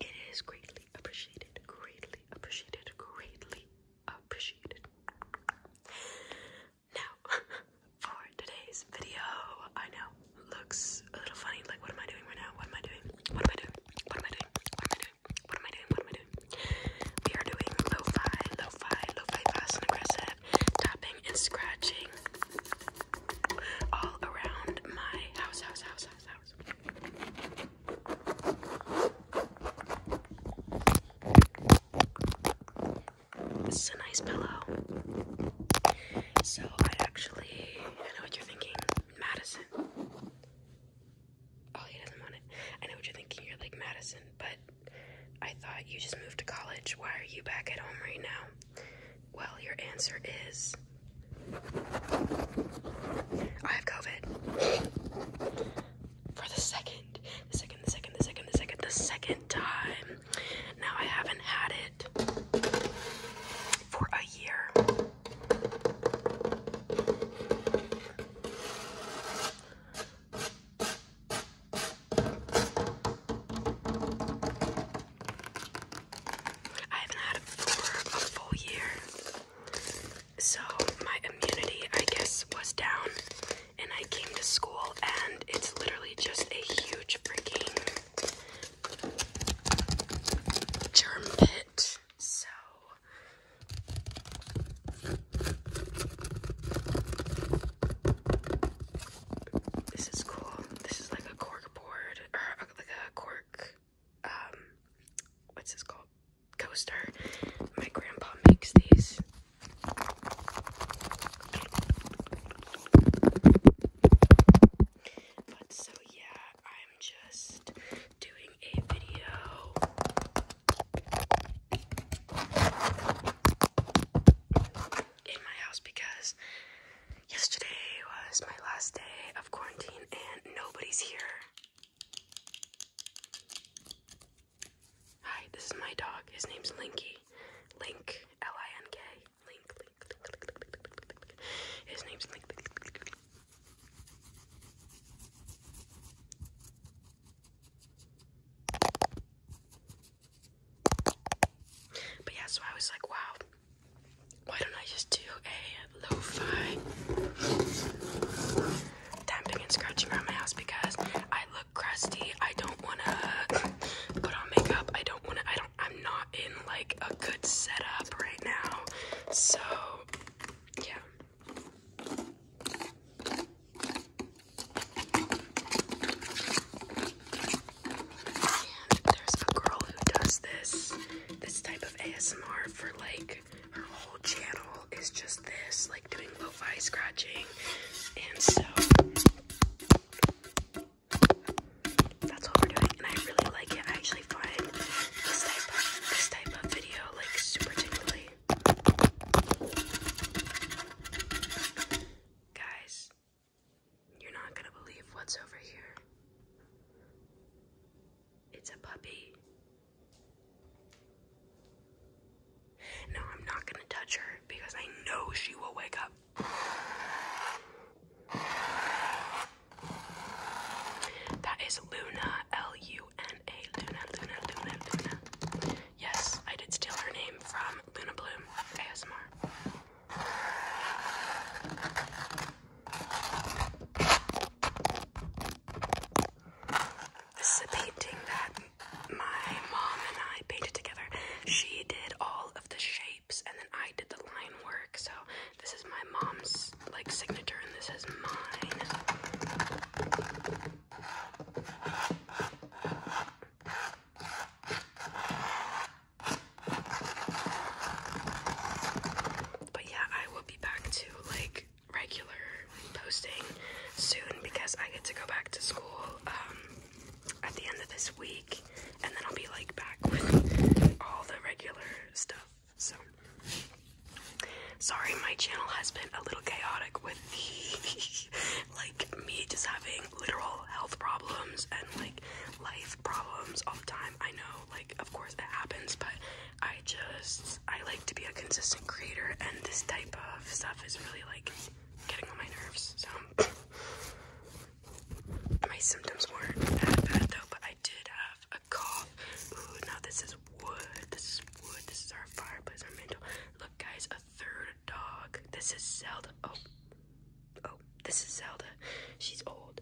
It is greatly appreciated, greatly appreciated, greatly appreciated. Now, for today's video, I know looks a little funny. Like, what am I doing right now? What am I doing? What am I doing? What am I doing? What am I doing? What am I doing? What am I doing? What am I doing? We are doing lo-fi, lo-fi, lo-fi, fast and aggressive, tapping and scratching all around my house, house, house, house, house. This is a nice pillow. So I actually, I know what you're thinking, Madison. Oh, he doesn't want it. I know what you're thinking. You're like Madison, but I thought you just moved to college. Why are you back at home right now? Well, your answer is I have COVID. For the second, the second, the second, the second, the second, the second time. Now I haven't had it for a year. I haven't had it for a full year. So my immunity, I guess, was down. And I came to school, and it's literally just a huge freaking germ pit. So. This is cool. This is like a cork board, or uh, like a cork um, what's this called? Coaster. My grandpa makes these. But so yeah, I'm just doing a video. In my house because Yesterday was my last day of quarantine and nobody's here. Hi, this is my dog. His name's Linky. Link, L I N K. Link, His name's Link. But yeah, so I was like, wow, why don't I just do a lo-fi tapping and scratching around my house because I look crusty. I don't wanna put on makeup. I don't wanna I don't I'm not in like a good setup right now. So yeah. And there's a girl who does this, this type of ASMR for like her whole channel is just this, like doing lo-fi scratching. And so that's what we're doing, and I really like it. I actually find this type of this type of video like super tingly. Guys, you're not gonna believe what's over here. It's a puppy. No, I'm not gonna touch her because I know she will wake up. That is Luna, L U N A. Luna, Luna, Luna, Luna. Yes, I did steal her name from Luna Bloom ASMR. This is a painting that my mom and I painted together. She did all of the shapes and then I did the line work. So this is my mom's like signature and this is mine. But yeah, I will be back to like regular posting soon because I get to go back to school um, at the end of this week and then I'll be like back with all the regular stuff. So sorry my channel has been a little chaotic with the like me just having literal health problems and like life problems all the time. I know, like, of course that happens, but I just, I like to be a consistent creator, and this type of stuff is really, like, getting on my nerves. So, my symptoms weren't that bad, though, but I did have a cough. Ooh, now this is wood. This is wood. This is our fireplace, our mantle. Look, guys, a third dog. This is Zelda. Oh, oh, this is Zelda. She's old.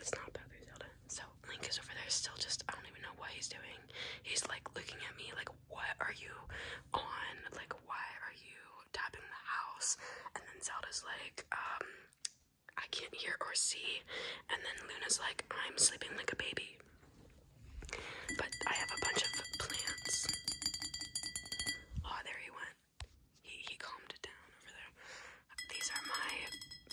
It's not Bowser Zelda. So Link is over there still just I don't even know what he's doing. He's like looking at me like what are you on? Like why are you tapping the house? And then Zelda's like, um, I can't hear or see. And then Luna's like, I'm sleeping like a baby. But I have a bunch of plants. Oh, there he went. He, he calmed it down over there. These are my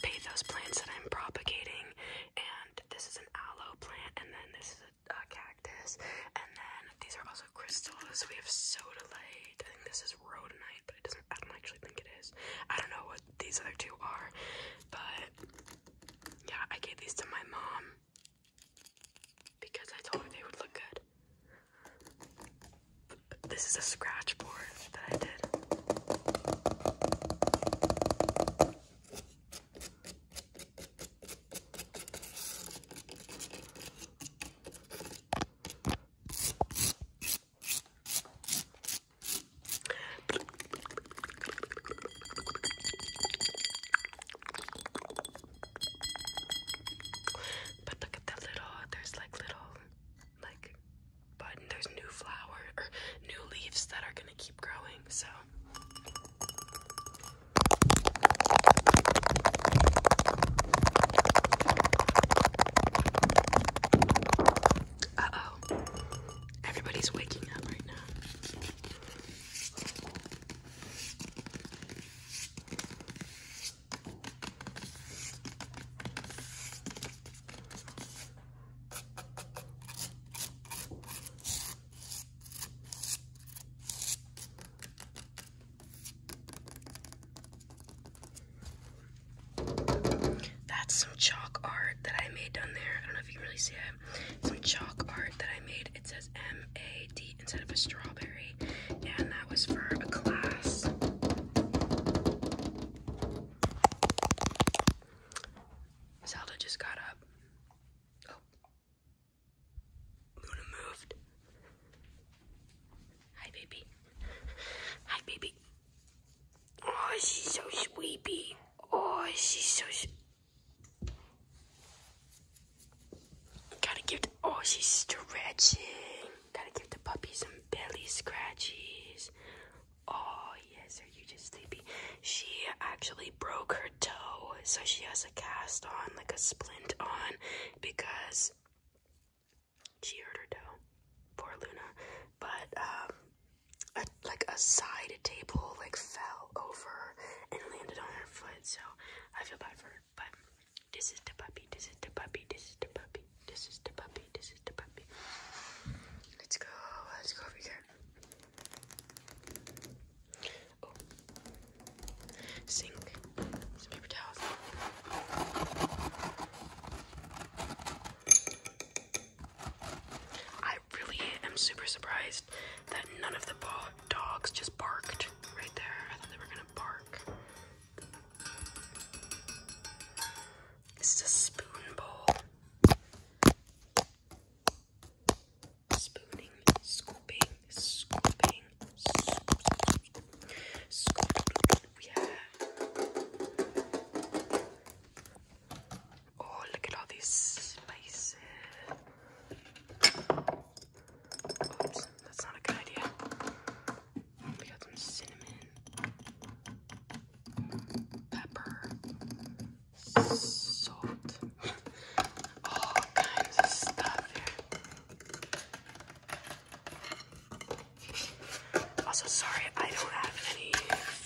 pathos plants that I'm propagating, and this is an aloe plant, and then this is a, cactus, and then these are also crystals. We have soda light. I think this is rhodonite, but I don't actually think it is. I don't know what these other two are, but yeah, I gave these to my mom because I told her they would look good. This is a scratch board that I did. But look at the little, there's like little, like, button. There's new flowers or new leaves that are gonna keep growing. So. Uh oh. Everybody's waking up right now. That's some chalk art that I made down there. I don't know if you can really see it. Some chalk art that I made. It says M A D instead of a strawberry, and that was for a class. Zelda just got up. Oh. Luna moved. Hi, baby. Hi, baby. Oh, she's so sleepy. Oh, she's so. Gotta give oh, she's stretching. Gotta give the puppy some belly scratches. Oh, yes, are you just sleepy? She actually broke her toe, so she has a cast on, like a splint on, because she hurt her toe. Poor Luna. But, um, a, like a side table like fell over and landed on her foot. So I feel bad for her. But this is the puppy. This is the puppy. This is the puppy. This is the puppy. This is the puppy. Let's go. Let's go over here. Oh. Sink. Some paper towels. I really am super surprised that none of the dogs just barked right there. I thought they were gonna bark. This is a spoon bowl. scooping, scooping, scooping, scooping. We Oh, look at all these spices. that's not a good idea. We got some cinnamon, pepper, salt, all kinds of stuff Also, sorry, I don't have any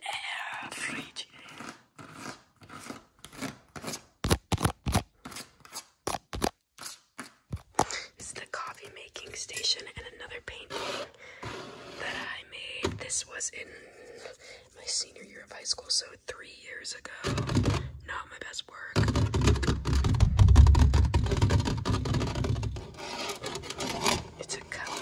air This the coffee making station and another painting that I made. This was in my senior year of high school, so three years ago. Not my best work to come.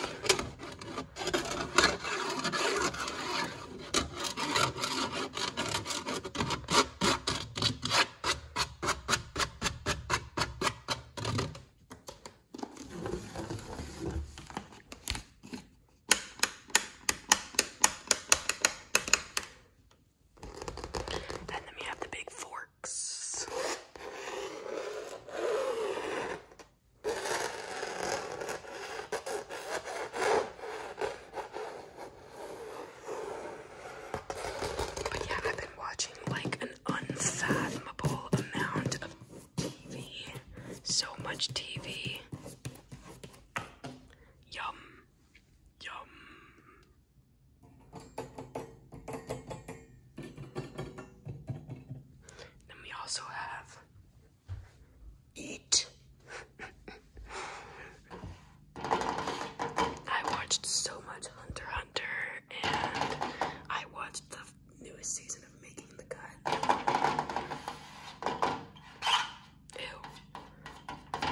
And have the big forks. But yeah, I've been watching like an unfathomable amount of TV. So much TV. Yum. Yum. Then we also have Eat. I watched so much Hunter Hunter and I watched the newest season of Making the Cut. Ew.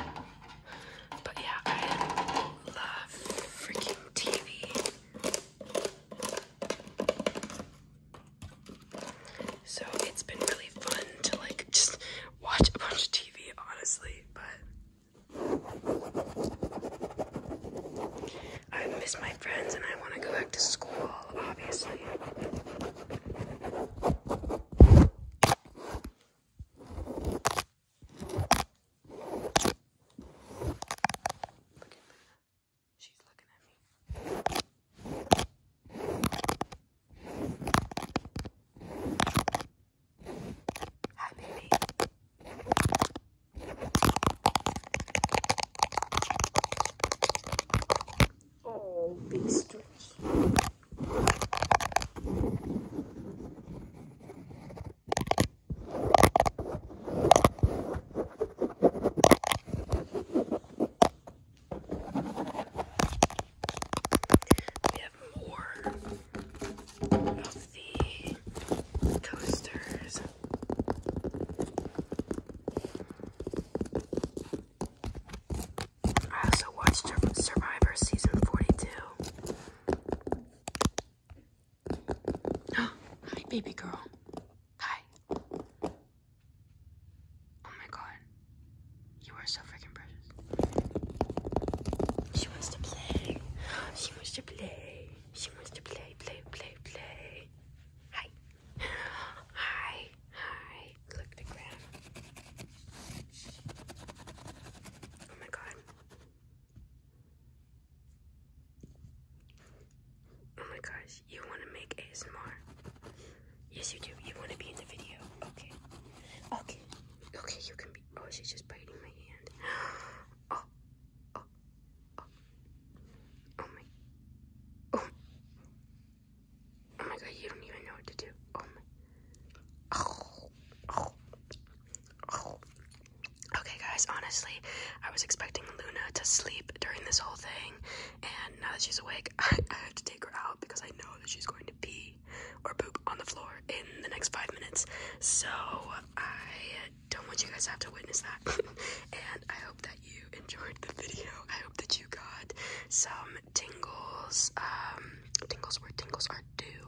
But yeah, I love freaking TV. So it's been really fun to like just watch a bunch of TV, honestly, but I miss my friends and I want to go back to school, obviously. Look at that. She's looking at me. Hi, baby. Oh, big have more of the coasters. I also watched Survivor Season 42. hi, baby girl. Hi. Oh my god. You are so freaking precious. She wants to play. She wants to play. She wants to play, play, play, play. Hi. Hi. Hi. Look, the ground. Oh my god. Oh my gosh, you want to make ASMR? Yes, you do. You want to be in the video? Okay. Okay. Okay, you can be. Oh, she's just biting my hand. Oh. Oh. Oh. Oh my. Oh. Oh my god, you don't even know what to do. Oh my. Oh. Oh. Oh. Okay, guys, honestly, I was expecting Luna to sleep during this whole thing, and now that she's awake, I, have to take her out because I know that she's going to pee or poop on the floor in the next five minutes. So, I don't want you guys to have to witness that. and I hope that you enjoyed the video. I hope that you got some tingles. Um, tingles were tingles or do.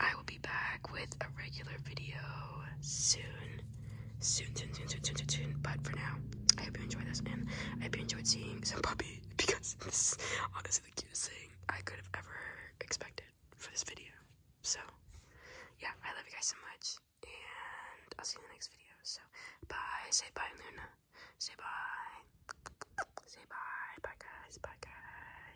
I will be back with a regular video soon. Soon, soon, soon, soon, soon, soon, soon. But for now, I hope you enjoyed this and I hope you enjoyed seeing some puppy because this is honestly the cutest thing I could have ever expected for this video. So, yeah, I love you guys so much and I'll see you in the next video. So, bye. Say bye, Luna. Say bye. Say bye. Bye, guys. Bye, guys.